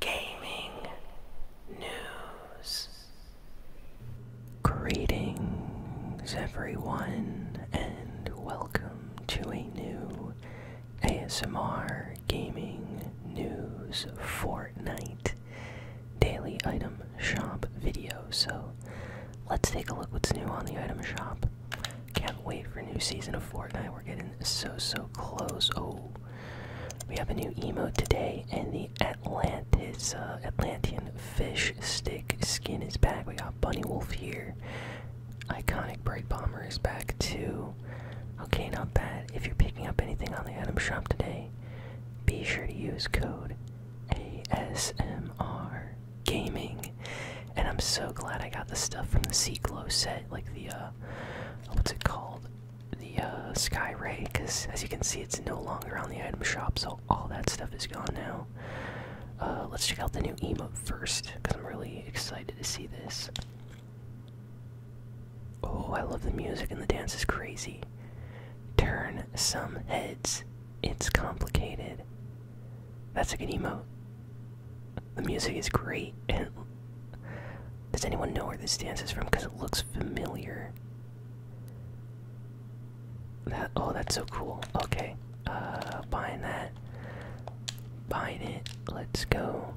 gaming news. Greetings, everyone, and welcome to a new ASMR Gaming News Fortnite Daily Item Shop video. So, let's take a look what's new on the item shop. Can't wait for new season of Fortnite. We're getting so so close. Oh, we have a new emo today, and the Atlantis uh, Atlantean fish stick skin is back. We got Bunny Wolf here. Iconic Break Bomber is back too. Okay, not bad. If you're picking up anything on the Adam shop today, be sure to use code ASMR Gaming. And I'm so glad I got the stuff from the Glow set, like the uh, what's it called? the uh, Sky Ray, because as you can see, it's no longer on the item shop, so all that stuff is gone now. Uh, let's check out the new emote first, because I'm really excited to see this. Oh, I love the music and the dance is crazy. Turn some heads. It's complicated. That's a good emote. The music is great and does anyone know where this dance is from? Because it looks familiar. That oh, that's so cool. Okay, uh, buying that, buying it. Let's go.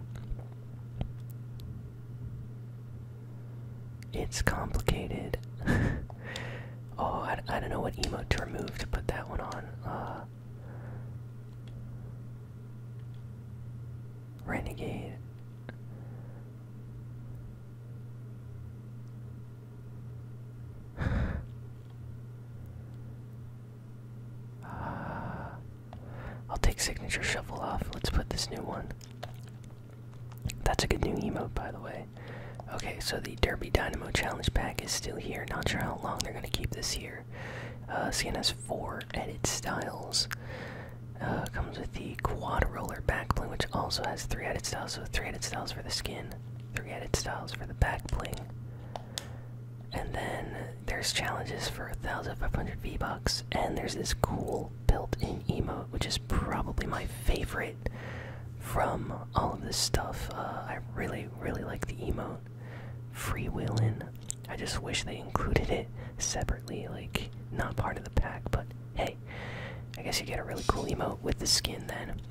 It's complicated. oh, I, I don't know what emote to remove to put that one on. Uh, Renegade uh, I'll take signature shovel off. Let's put this new one. That's a good new emote, by the way. Okay, so the Derby Dynamo Challenge pack is still here. Not sure how long they're gonna keep this here. Uh, CNS 4 for edit styles. Uh, comes with the quad roller backbling, which also has three edit styles. So three edit styles for the skin, three edit styles for the backbling. And then there's challenges for 1,500 V bucks, and there's this cool built-in emote, which is probably my favorite from all of this stuff. Uh, I really, really like the emote. Freewheeling. I just wish they included it separately, like not part of the pack, but hey, I guess you get a really cool emote with the skin then.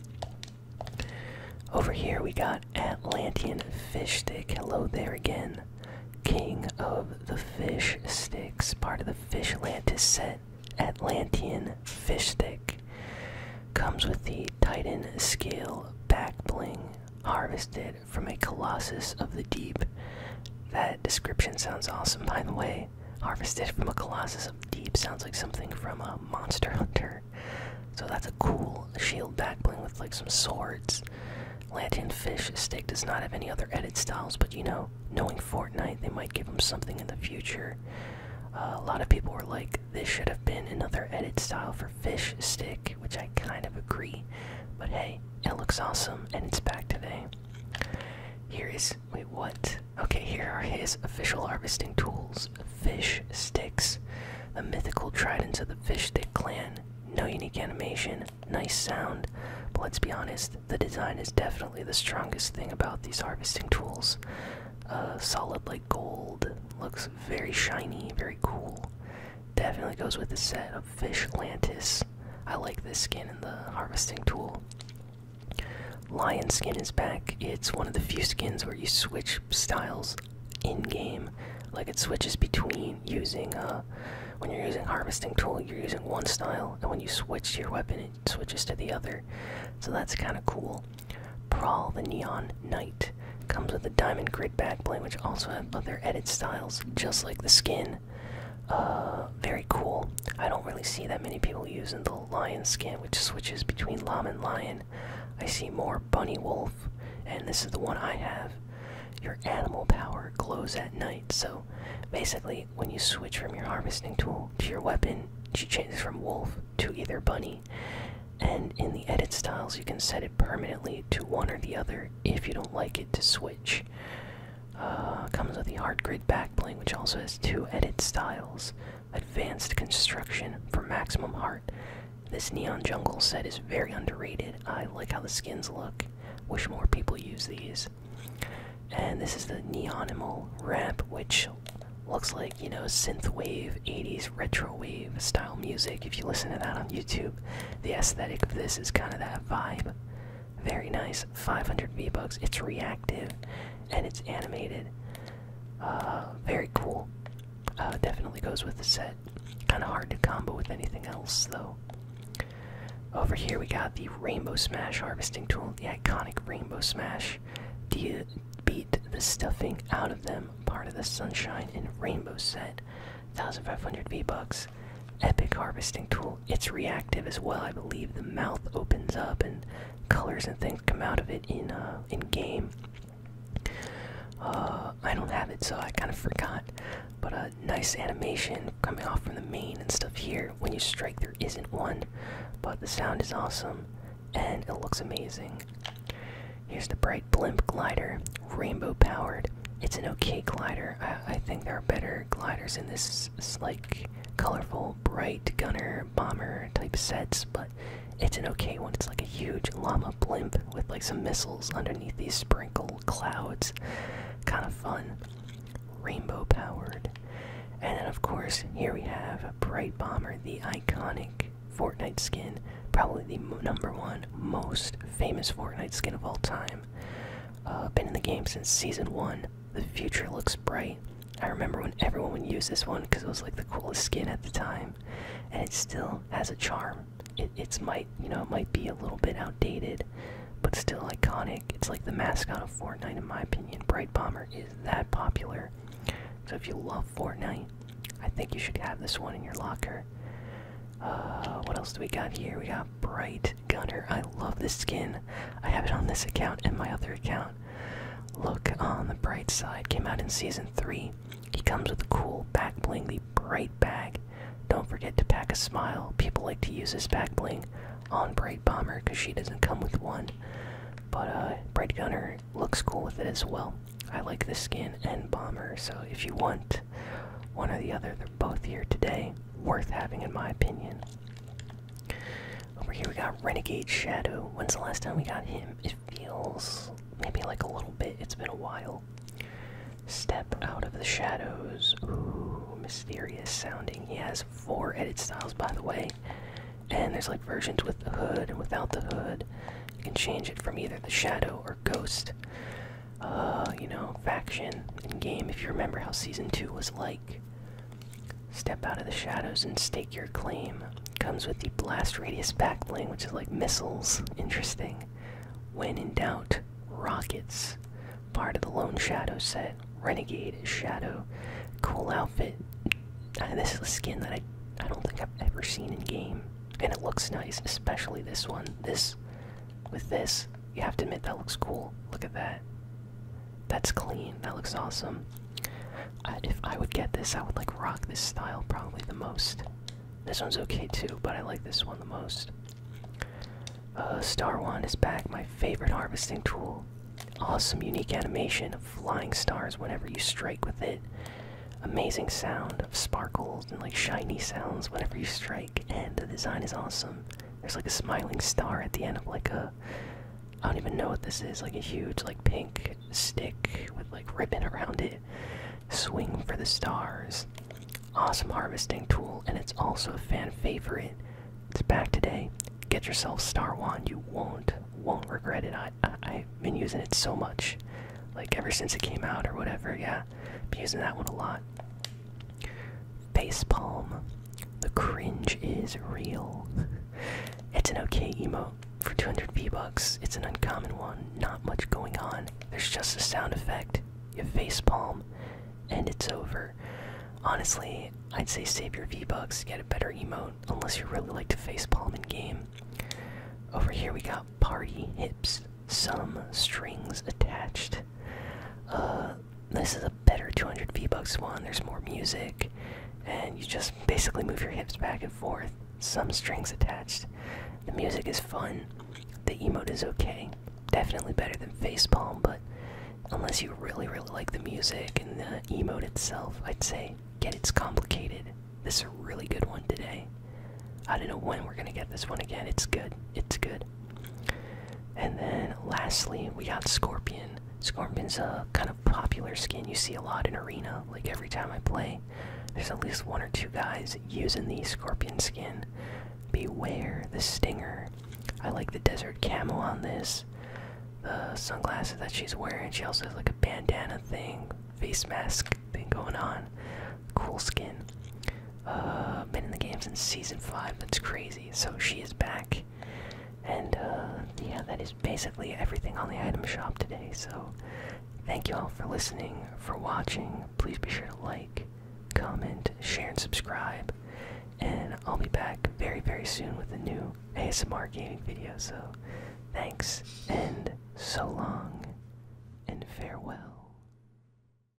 Over here we got Atlantean Fish Stick. Hello there again. King of the Fish Sticks, part of the Fish Atlantis set. Atlantean Fish Stick. Comes with the Titan Scale Back Bling, harvested from a colossus of the deep. That description sounds awesome, by the way. Harvested from a colossus of deep sounds like something from a monster hunter. So that's a cool shield backbling with like some swords. fish stick does not have any other edit styles, but you know, knowing Fortnite, they might give him something in the future. Uh, a lot of people were like, this should have been another edit style for fish stick, which I kind of agree. But hey, it looks awesome, and it's back today. Here is wait what? Okay, here are his official harvesting tools: fish sticks, the mythical tridents of the fish stick clan. No unique animation, nice sound. But let's be honest, the design is definitely the strongest thing about these harvesting tools. Uh, solid like gold, looks very shiny, very cool. Definitely goes with the set of Fish Lantis. I like this skin and the harvesting tool. Lion skin is back. It's one of the few skins where you switch styles in game. Like it switches between using, uh, when you're using harvesting tool, you're using one style, and when you switch to your weapon, it switches to the other. So that's kind of cool. Prahl the Neon Knight comes with a diamond grid backplate, which also have other edit styles, just like the skin. Uh, very cool. I don't really see that many people using the lion skin, which switches between lamb and lion. I see more bunny wolf, and this is the one I have. Your animal power glows at night. So basically, when you switch from your harvesting tool to your weapon, she changes from wolf to either bunny. And in the edit styles, you can set it permanently to one or the other if you don't like it to switch. Uh, comes with the hard grid backplane, which also has two edit styles. Advanced construction for maximum art. This neon jungle set is very underrated. I like how the skins look. Wish more people use these. And this is the Neonimal Ramp, which looks like, you know, synthwave, 80s retro wave style music. If you listen to that on YouTube, the aesthetic of this is kind of that vibe. Very nice. 500 V-Bucks. It's reactive and it's animated. Uh, very cool. Uh, definitely goes with the set. Kind of hard to combo with anything else, though. Over here, we got the Rainbow Smash harvesting tool, the iconic Rainbow Smash. Do you beat the stuffing out of them, part of the Sunshine and Rainbow set. 1500 V bucks epic harvesting tool. It's reactive as well. I believe the mouth opens up and colors and things come out of it in uh, in game. Uh, I don't have it, so I kind of forgot. But a uh, nice animation coming off from the main and stuff here. When you strike, there isn't one, but the sound is awesome and it looks amazing. Here's the bright blimp glider, rainbow powered. It's an okay glider. I think there are better gliders in this like colorful, bright gunner bomber type sets, but it's an okay one. It's like a huge llama blimp with like some missiles underneath these sprinkle clouds. Kind of fun. Rainbow powered. And then, of course, here we have a Bright Bomber, the iconic Fortnite skin, probably the number one most famous Fortnite skin of all time. Uh, been in the game since season one. The future looks bright. I remember when everyone would use this one because it was like the coolest skin at the time, and it still has a charm. It, it's might you know it might be a little bit outdated, but still iconic. It's like the mascot of Fortnite in my opinion. Bright Bomber is that popular. So if you love Fortnite, I think you should have this one in your locker. Uh, what else do we got here? We got Bright Gunner. I love this skin. I have it on this account and my other account. Look on the bright side. Came out in season three. He comes with a cool back bling, the bright bag. Don't forget to pack a smile. People like to use this back bling on Bright Bomber because she doesn't come with one. But uh, Bright Gunner looks cool with it as well. I like this skin and Bomber, so if you want one or the other, both here today. Worth having, in my opinion. Over here, we got Renegade Shadow. When's the last time we got him? It feels maybe like a little bit. It's been a while. Step out of the shadows. Ooh, mysterious sounding. He has four edit styles, by the way. And there's like versions with the hood and without the hood. You can change it from either the shadow or ghost uh, you know, faction in game. If you remember how season two was like, step out of the shadows and stake your claim. Comes with the blast radius backbling, which is like missiles. Interesting. When in doubt, rockets. Part of the lone shadow set. Renegade shadow. Cool outfit. Uh, this is a skin that I I don't think I've ever seen in game, and it looks nice, especially this one. This with this, you have to admit that looks cool. Look at that. That's clean. That looks awesome. if I would get this, I would like rock this style probably the most. This one's okay too, but I like this one the most. Uh, Star Wand is back, my favorite harvesting tool. Awesome, unique animation of flying stars whenever you strike with it. Amazing sound of sparkles and like shiny sounds whenever you strike, and the design is awesome. There's like a smiling star at the end of like a. I don't even know what this is. Like a huge, like pink stick with like ribbon around it. Swing for the stars. Awesome harvesting tool, and it's also a fan favorite. It's back today. Get yourself Star Wand. You won't, won't regret it. I, I, I've been using it so much, like ever since it came out or whatever. Yeah, yeah, be using that one a lot. Facepalm. The cringe is real. it's an okay emote for 200 V-Bucks. It's an uncommon one, not much going on. There's just a sound effect. You facepalm, and it's over. Honestly, I'd say save your V-Bucks, get a better emote, unless you really like to facepalm in game. Over here we got Party Hips some strings attached. Uh, this is a better 200 V-Bucks one. There's more music, and you just basically move your hips back and forth. Some strings attached. The music is fun. The emote is okay. Definitely better than Facepalm, but unless you really, really like the music and the emote itself, I'd say get It's Complicated. This is a really good one today. I don't know when we're gonna get this one again. It's good. It's good. And then lastly, we got Scorpion. Scorpion's a kind of popular skin you see a lot in Arena. Like every time I play, there's at least one or two guys using the Scorpion skin. Beware the Stinger. I like the desert camel on this. The sunglasses that she's wearing. She also has like a bandana thing, face mask thing going on. Cool skin. Uh, been in the games since season five. That's crazy. So she is back, and uh, yeah, that is basically everything on the item shop today. So thank you all for listening, for watching. Please be sure to like, comment, share, and subscribe. And I'll be back very, very soon with a new ASMR gaming video. So thanks, and so long, and farewell.